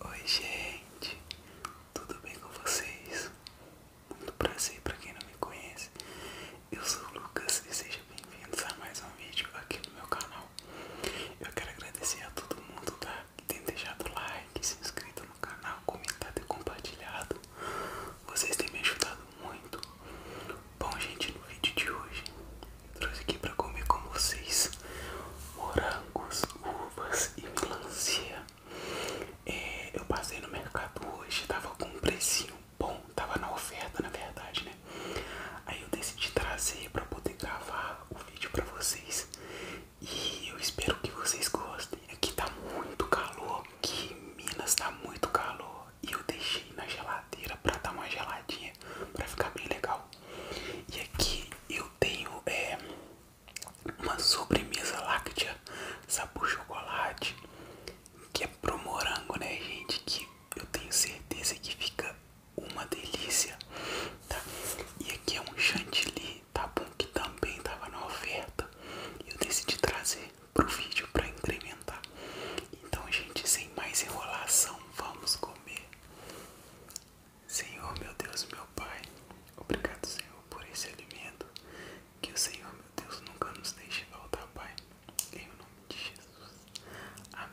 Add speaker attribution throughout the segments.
Speaker 1: Oi gente, tudo bem com vocês? Muito prazer para quem não me conhece, eu sou o Lucas e sejam bem-vindos a mais um vídeo aqui no meu canal. Eu quero agradecer a todo mundo tá? que tem deixado like, se inscrito no canal, comentado e compartilhado. Vocês têm me ajudado muito. Bom, gente, no vídeo de hoje eu trouxe aqui para comer com vocês morangos, uvas e melancia. É, eu passei no mercado hoje, tava com um precinho bom, tava na oferta na verdade, né? Aí eu decidi trazer para poder gravar o vídeo para vocês. E eu espero que vocês gostem. Aqui tá muito calor, aqui em Minas tá muito calor e eu deixei na geladeira para dar uma geladinha, para ficar bem legal. E aqui eu tenho é, uma sobremesa láctea, sabor chocolate, que é pro morango, né, gente? Que eu tenho certeza que fica uma delícia, tá? E aqui é um chantilly, tá bom? Que também tava na oferta. Eu decidi trazer para o vídeo para incrementar. Então, gente, sem mais enrolação, vamos comer. Senhor, meu Deus, meu Pai, obrigado, Senhor, por esse alimento. Que o Senhor, meu Deus, nunca nos deixe faltar, Pai. Em nome de Jesus. Amém.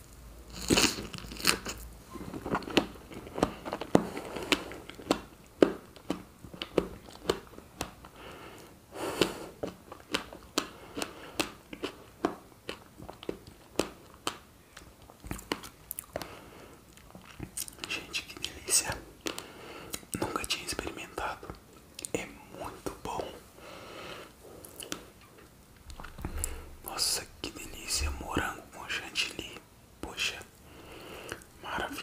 Speaker 1: Gente, que delícia! Nunca tinha experimentado. É muito bom. Nossa, que delícia! Morango com chantilly. Poxa, maravilhoso.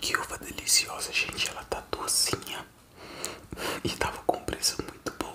Speaker 1: Que uva deliciosa, gente. Ela tá docinha e tava com preço muito bom.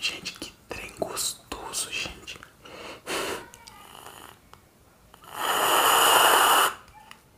Speaker 1: Gente, que trem gostoso, gente.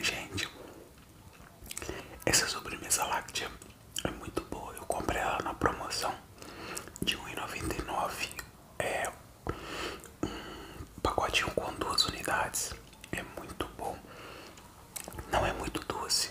Speaker 1: Gente, essa sobremesa láctea é muito boa. Eu comprei ela na promoção de R$1,99. É um pacotinho com duas unidades. É muito bom. Não é muito doce.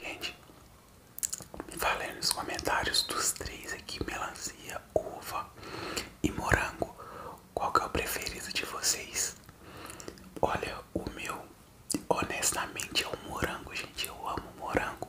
Speaker 1: Gente, falei nos comentários dos três aqui, melancia, uva e morango. Qual que é o preferido de vocês? Olha, o meu honestamente é o morango, gente. Eu amo morango.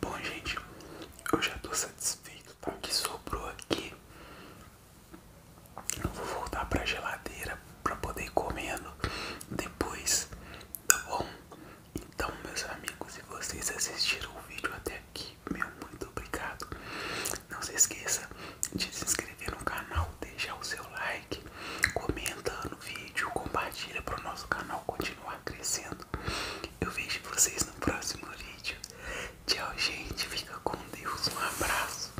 Speaker 1: Bom, gente, eu já estou satisfeito, tá? O que sobrou aqui eu vou voltar pra geladeira pra poder ir comendo depois, tá bom? Então, meus amigos, se vocês assistiram o vídeo até aqui, meu muito obrigado. Não se esqueça de se inscrever no canal, deixar o seu like, comenta no vídeo, compartilha para o nosso canal continuar crescendo. Eu vejo vocês no próximo vídeo. Tchau, gente. Fica com Deus. Um abraço.